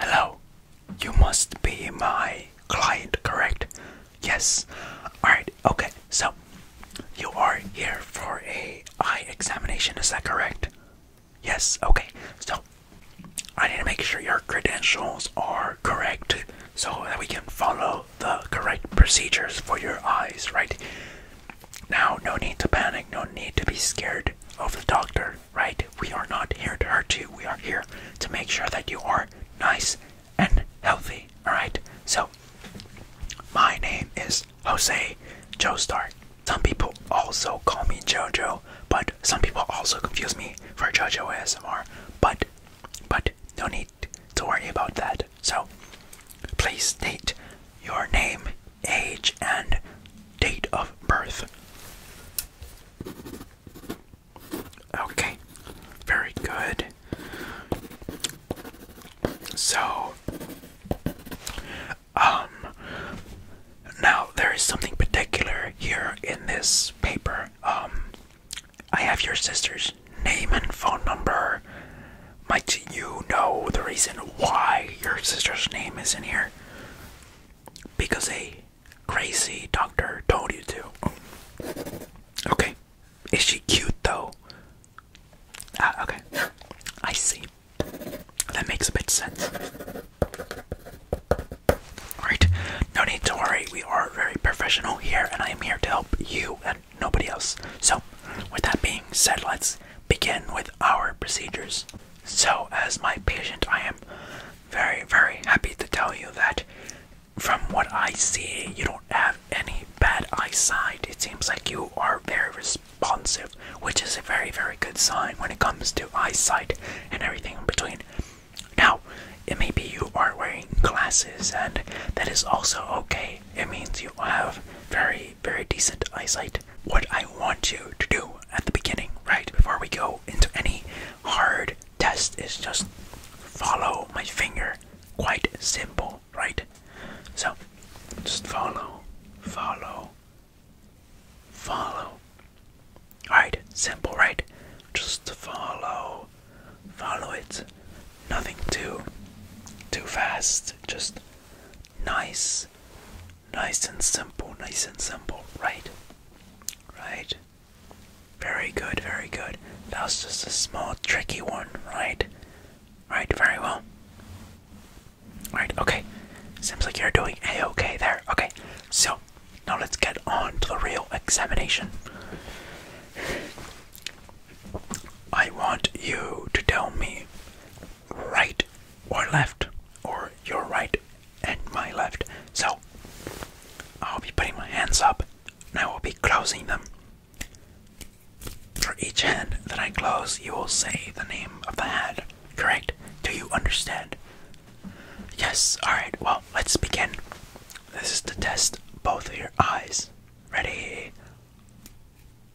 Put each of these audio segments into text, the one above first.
Hello, you must be my client, correct? Yes. Alright, okay, so you are here for a eye examination, is that correct? Yes, okay. So I need to make sure your credentials are correct so that we can follow the correct procedures for your eyes, right? Now, no need to panic, no need to be scared of the doctor right? We are not here to hurt you. We are here to make sure that you are nice and healthy, alright? So, my name is Jose Joestar. Some people also call me JoJo, but some people also confuse me for JoJo ASMR. But, but, no need to worry about that. So, please state your name, age, and date of birth. Okay, very good. So, um, now there is something particular here in this paper. Um, I have your sister's name and phone number. Might you know the reason why your sister's name is in here? because a crazy doctor told you to. Okay. Is she cute though? Ah, okay. I see. That makes a bit sense. Alright, no need to worry. We are very professional here, and I am here to help you and nobody else. So, with that being said, let's begin with our procedures. So, as my patient, I am very, very happy to tell you that from what I see, you don't have any bad eyesight. It seems like you are very responsive, which is a very, very good sign when it comes to eyesight and everything in between. Now, it may be you are wearing glasses, and that is also okay. It means you have very, very decent eyesight what I want you to do at the beginning, right? Before we go into any hard test, is just follow my finger. Quite simple, right? So, just follow, follow, follow. Alright, simple, right? Just follow, follow it. Nothing too, too fast. Just nice nice and simple, nice and simple, right? Right? Very good, very good. That was just a small, tricky one, right? Right, very well. Right, okay. Seems like you're doing a okay there. Okay, so now let's get on to the real examination. I want you to tell me right or left, or your right and my left. So I'll be putting my hands up and I will be closing them. For each hand that I close, you will say the name of the hand, correct? Do you understand? Yes, alright, well, let's begin. This is to test both of your eyes. Ready?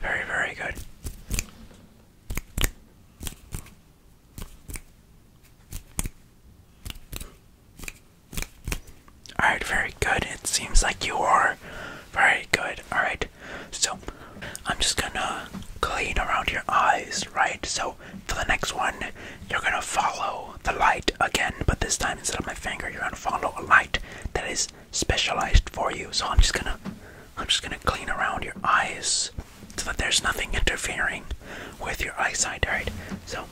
Very, very good. Alright, very good. It seems like you are very good. Alright, so I'm just gonna clean around your eyes, right? So for the next one, you're gonna follow the light again, but this time instead of my finger, you're gonna follow a light that is specialized for you. So I'm just gonna I'm just gonna clean around your eyes so that there's nothing interfering with your eyesight, alright? So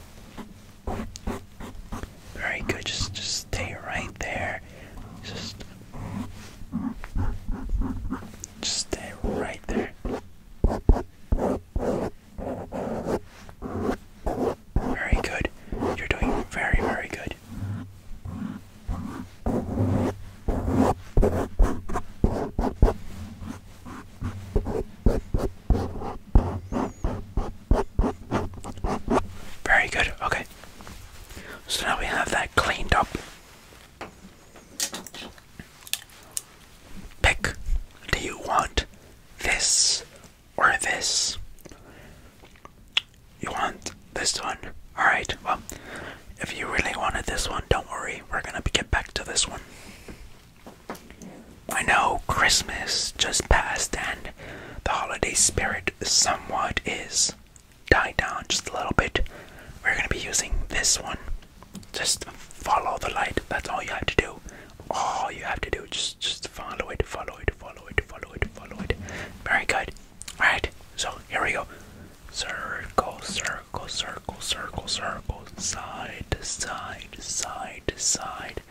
very good, just just stay right there. Just just stay right there. Very good. You're doing very, very good. Very good, okay. So now we have that cleaned up. Pick do you want this or this? You want this one? Alright, well, if you really wanted this one, don't worry. We're gonna get back to this one. I know Christmas just passed and the holiday spirit somewhat is died down just a little bit. We're gonna be using this one. Just follow the light. That's all you have to do. All you have to do. just follow it, follow it, follow it, follow it, follow it. Very good. Alright, so here we go. Circle, circle, circle, circle, circle, side to side, side to side.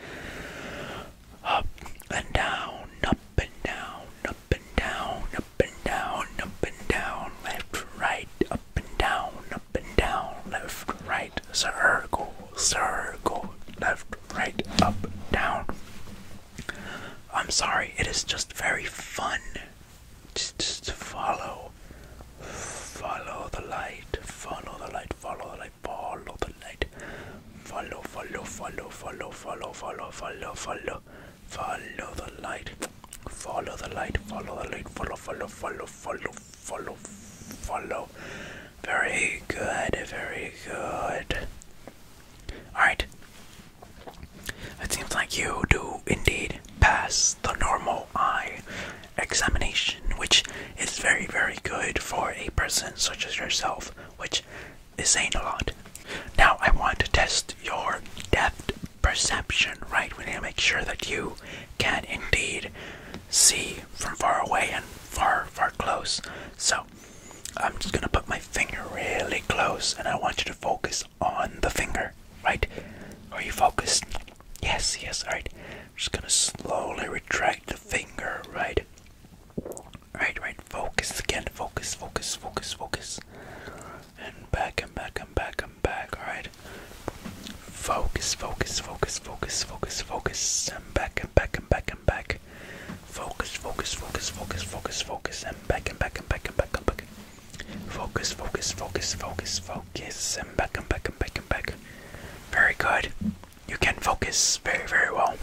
Up and down, up and down, up and down, up and down, up and down, left, right, up and down, up and down, left, right, circle, circle, left, right, up, down. I'm sorry, it is just very fun. Just, just follow, follow the light, follow the light, follow the light, follow the light, follow, follow, follow, follow, follow, follow, follow, follow, follow the light, follow the light, follow the light, follow, follow, follow, follow, follow, follow. Very good, very good. Alright. It seems like you do indeed pass the normal eye examination, which is very, very good for a person such as yourself, which is saying a lot. Now, I want to test your depth perception, right? We need to make sure that you can indeed see from far away and far, far close. So, I'm just gonna put my finger really close and I want you to focus on the finger, right? Are you focused? Yes, yes, alright. just gonna slowly retract the finger, right? Right, right, focus again, focus, focus, focus, focus. And back and back and back and back, alright? Focus, focus, focus, focus, focus, focus, and back and back and back and back. Focus, focus, focus, focus, focus, focus, and back and back and back and back and back. Focus, focus, focus, focus, focus, and back and back and back and back. Very good. You can focus very, very well.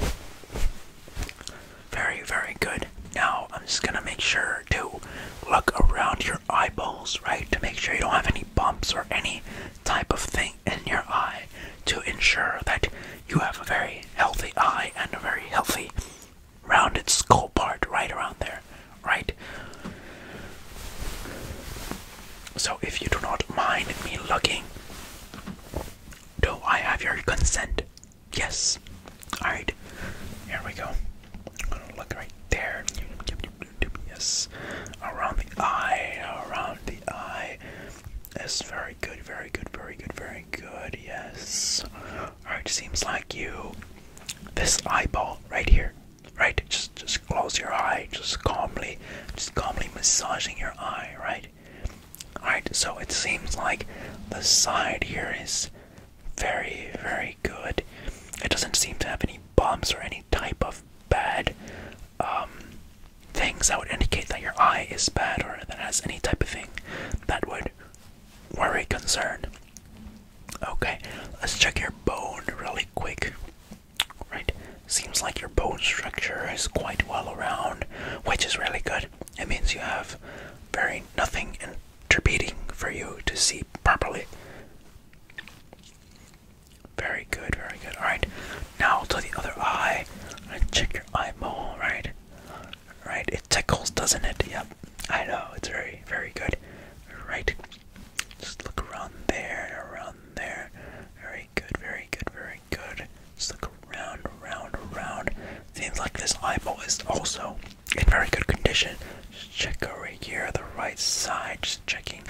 Very, very good. Now I'm just gonna make sure to look around your eyeballs, right? To make sure you don't have any bumps or any type of thing in your eye to ensure that you have a very healthy eye and a very healthy rounded skull part right around there, right? So, if you do not mind me looking, do I have your consent? Yes. Alright, here we go. look right there. Yes around the eye, around the eye. That's very good, very good, very good, very good. Yes. Alright, seems like you this eyeball right here. Right? Just just close your eye, just calmly, just calmly massaging your eye, right? Alright, so it seems like the side here is very, very good. It doesn't seem to have any bumps or any type of bad um, things that would indicate that your eye is bad or that has any type of thing that would worry concern. Okay, let's check your bone really quick. Right, seems like your bone structure is quite well around, which is really good. It means you have very nothing interpreting for you to see properly. Very good, very good. Alright, now to the other eye. Right, check your eyeball, right? Right, it tickles, doesn't it? Yep, I know, it's very, very good. Right, just look around there, around there. Very good, very good, very good. Just look around, around, around. Seems like this eyeball is also in very good condition. Just check around here, the right side, just checking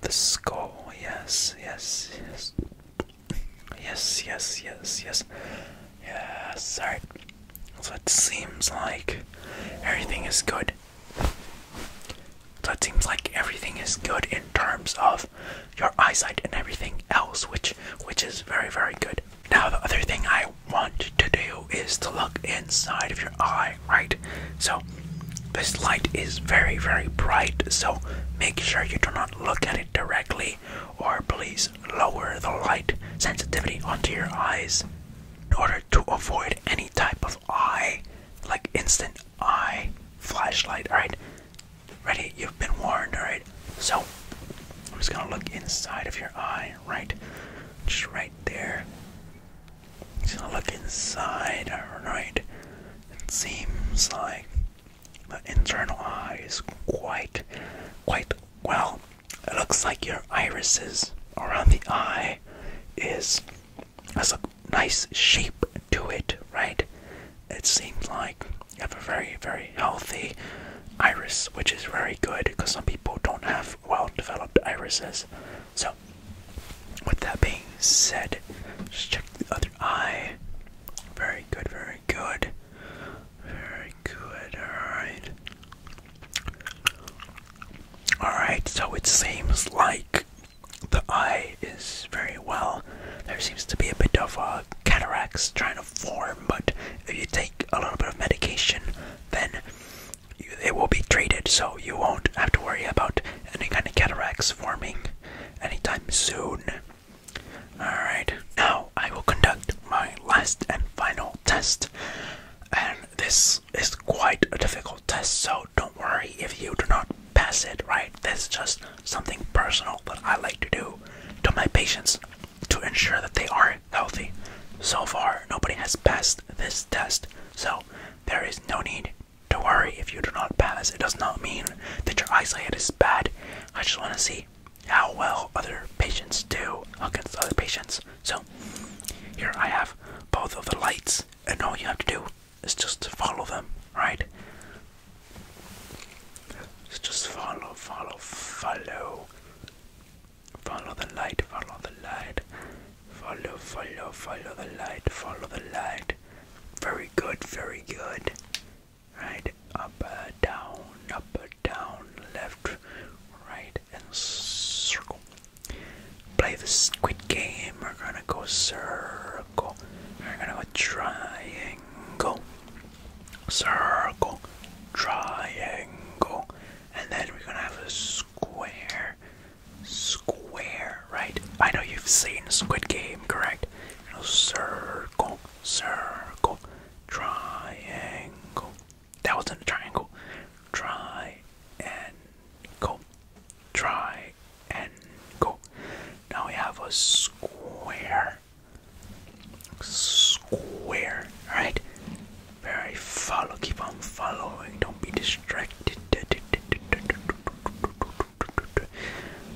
the skull. Yes, yes, yes. Yes, yes, yes, yes. Yes, alright. So it seems like everything is good. So it seems like everything is good in terms of your eyesight and everything else, which which is very, very good. Now the other thing I want to do is to look inside of your your eye, right? So, this light is very, very bright, so make sure you do not look at it directly, or please lower the light sensitivity onto your eyes in order to avoid any type of eye, like instant eye flashlight, alright? Ready? You've been warned, alright? So, I'm just gonna look inside of your eye, right? Just right there. Just gonna look inside, alright. It seems like the internal eye is quite, quite well. It looks like your irises around the eye is has a nice shape to it, right? It seems like you have a very, very healthy iris, which is very good because some people don't have well developed irises. So, with that being said, just check the other eye. Very good, very good. Very good, alright. Alright, so it seems like the eye is very well. There seems to be a bit of a uh, cataracts trying to form, but if you take a little bit of medication, then it will be treated, so you won't have to worry about any kind of cataracts forming anytime soon. Alright, now I will conduct my last and final test. And this is quite a difficult test, so don't worry if you do not pass it, right? This is just something personal that I like to do to my patients to ensure that they are healthy. So far, nobody has passed this test, so there is no need to worry if you do not pass. It does not mean that your eyesight is bad. I just want to see how well other patients do against other patients. So, here I have both of the lights, and all you have to do is just follow them, right? Just follow, follow, follow. Follow the light, follow the light. Follow, follow, follow the light, follow the light. Very good, very good. Right, up, uh, down, up, uh, down, left, right, and circle. Play the squid game. We're gonna go circle. We're gonna go triangle. Circle. Triangle and then we're gonna have a square square right i know you've seen squid game correct you know, circle circle triangle that wasn't a triangle try and go try and go now we have a square square right very follow, keep on following, don't be distracted.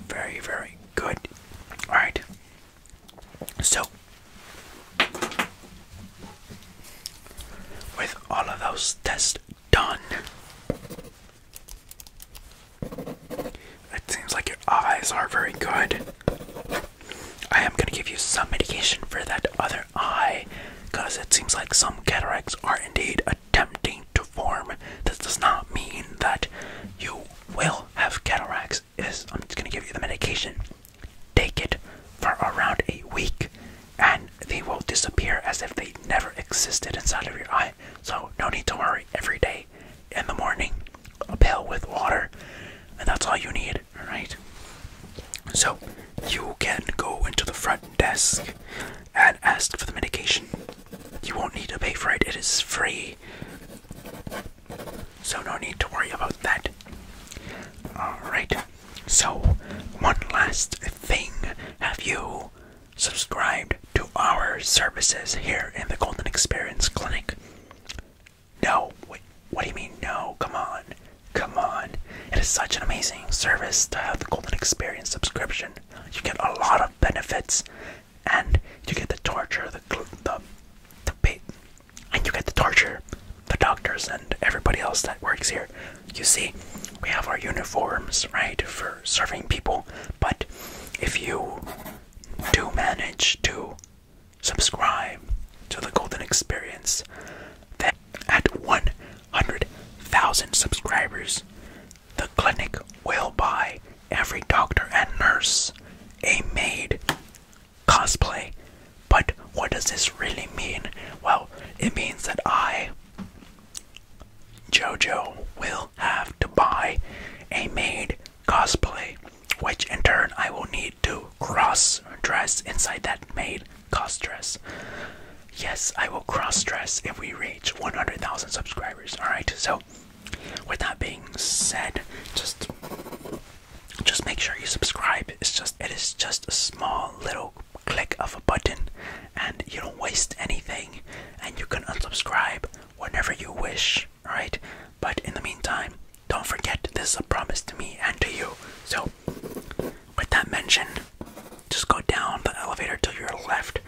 Very, very good. Alright. So, with all of those tests done, it seems like your eyes are very good. I am gonna give you some medication for that other eye, because it seems like some cataracts are indeed attempting to form. This does not mean that you will have cataracts. Is I'm just gonna give you the medication. Take it for around a week, and they will disappear as if they never existed inside of your eye. So no need to worry. Every day, in the morning, a pail with water, and that's all you need. All right. So you can go into the front desk and ask for the medication. You won't need to pay for it, it is free. So, no need to worry about that. Alright, so one last thing. Have you subscribed to our services here in the Golden Experience Clinic? No, wait, what do you mean no? Come on, come on. It is such an amazing service to have the Golden Experience subscription. You get a lot of benefits, and you get the torture, the, the, the bait, and you get the torture, the doctors, and everybody else that works here. You see, we have our uniforms, right, for serving people, but if you do manage to subscribe to the Golden Experience. That at 100,000 subscribers, the clinic will buy every doctor and nurse a maid cosplay. But what does this really mean? Well, it means that I, JoJo, will have to buy a maid cosplay, which in turn I will need to cross dress inside that maid cross dress. Yes, I will cross dress if we reach 100,000 subscribers. All right, so with that being said, just just make sure you subscribe. It's just it is just a small little click of a button, and you don't waste anything, and you can unsubscribe whenever you wish. All right, But in the meantime, don't forget this is a promise to me and to you. So, with that mention, just go down the elevator to your left,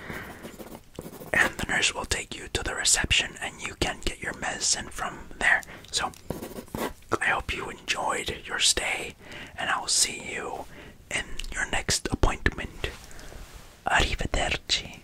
and the nurse will take you to the reception, and you can get your medicine from there. So, I hope you enjoyed your stay, and I'll see you in your next appointment. Arrivederci.